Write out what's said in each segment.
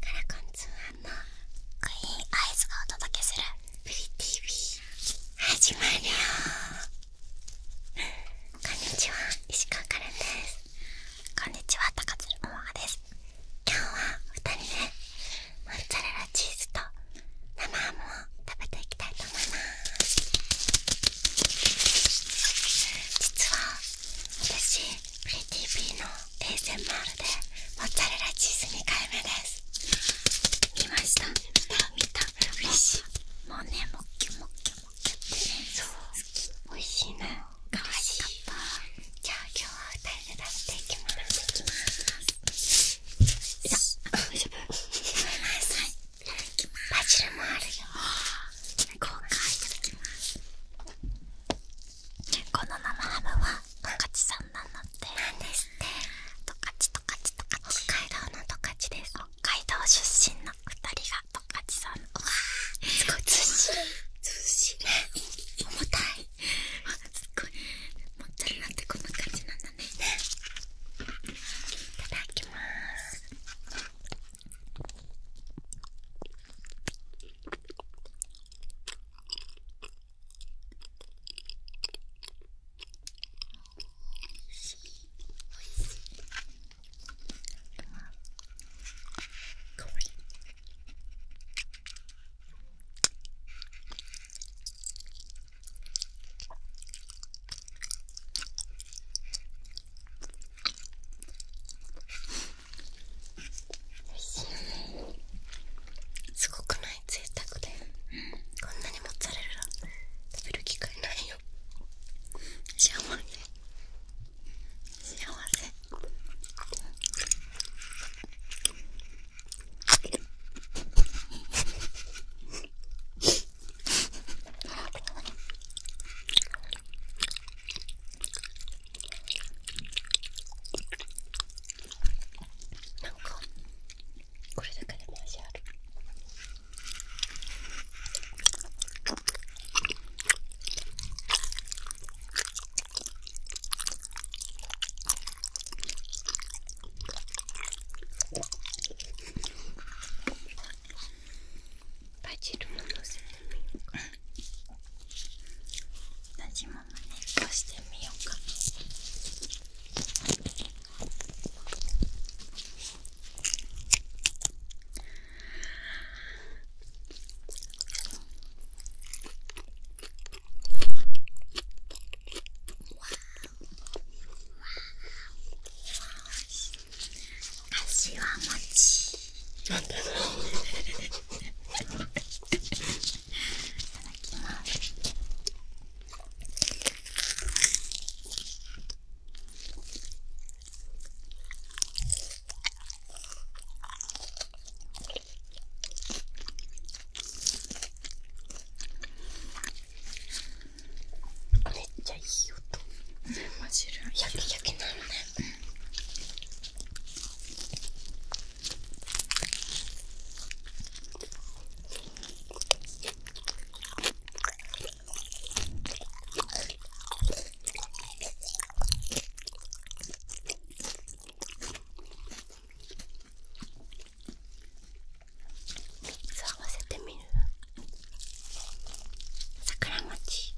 カラコン通販のクイーンアイズがお届けするプリこんにちは石川かれですこんにちは高鶴桃葉です今日は2人で、ね、モッツァレラチーズと生ハムを食べていきたいと思います実は私プリテの a m でモッツァレラチーズ2回目です見ました見た見た嬉しいもうねもっき美味しいなかわいじゃあ今日は2人で出していきますいきますよし大丈夫バジルもあるよ今回いただきますこの生ハムは十勝チさんなのってなんですって十勝十勝、カチ北海道のトカです北海道出身の2人が十勝さんのうわすごいずしい。重たいすごい持ってるなんてこんな感じなんだねいただきますしいおいしいか美味しいよねすごくない贅沢で、うん、こんなにモッツァレラ食べる機会ないよ幸せ幸せなんかこれだかでも味あるバジルものせてみようかなじままねっこしてみようか足は餅ち。いただきますめっちゃいい音マジで焼き焼きなのね探せてみる桜餅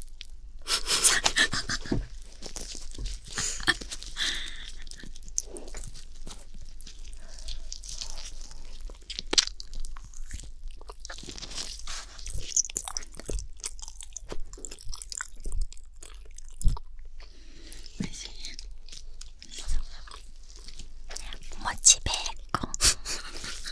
おいしいね。もちベーコ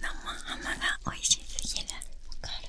生ハムが美味しすぎるわかる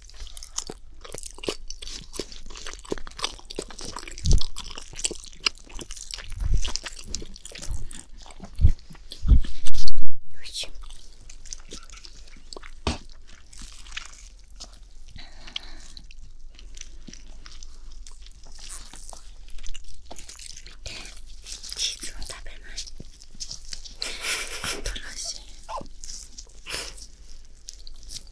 し新しい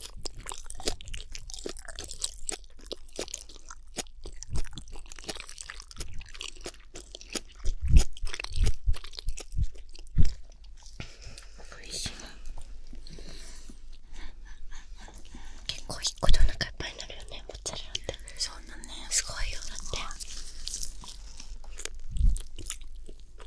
いしい結構一個でお腹いっぱいになるよねモッツァレラってそうだねすごいよだって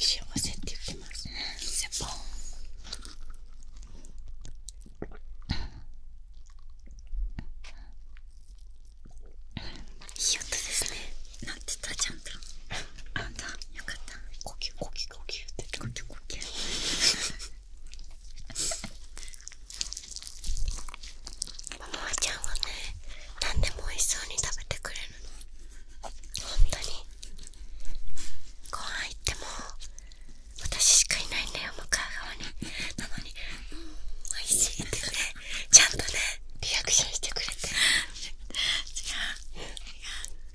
幸せって言っますねセポンいい音ですねなってたちゃんとあんたよかった呼吸呼吸呼吸って呼吸呼吸ママちゃんはね何でもおいしそうに食べてくれるの本当にご飯行っても私しかいないんだよ向かう側になのに「うん美味しい」ってねちゃんとねリアクションしてくれてや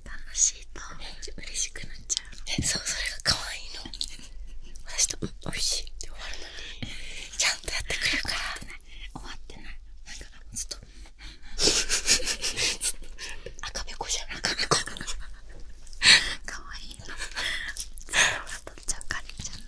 楽しいと嬉しくなっちゃうそうそれが可愛いの私と「うんしい」って終わるのにちゃんとやってくれるから終わってないだから、ちょっと赤べこじゃん赤べこ かわいいな。ず かりちゃんの。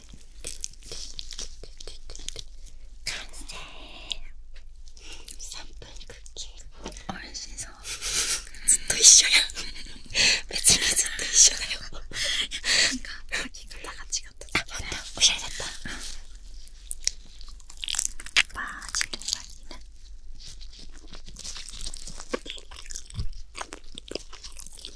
完成3分クッキーおいしそうずっと一緒や別にずっと一緒だよなんか書き方が違ったあ、またおしゃれだったバージルバリね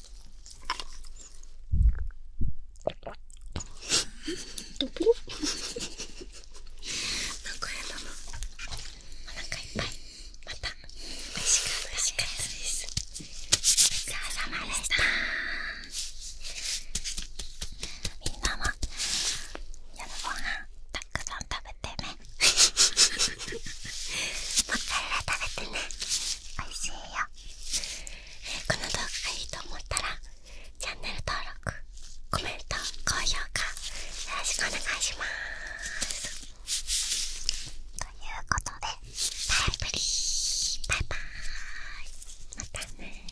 どぶろなんか変だお腹いっぱいまた美味しかですお疲れ様でしたみんなも夜ご飯たくさん食べてね もう一回ぐ食べてねおいしいよ、この動画がいいと思ったらチャンネル登録コメント高評価よろしくお願いしますということでバイバイまたね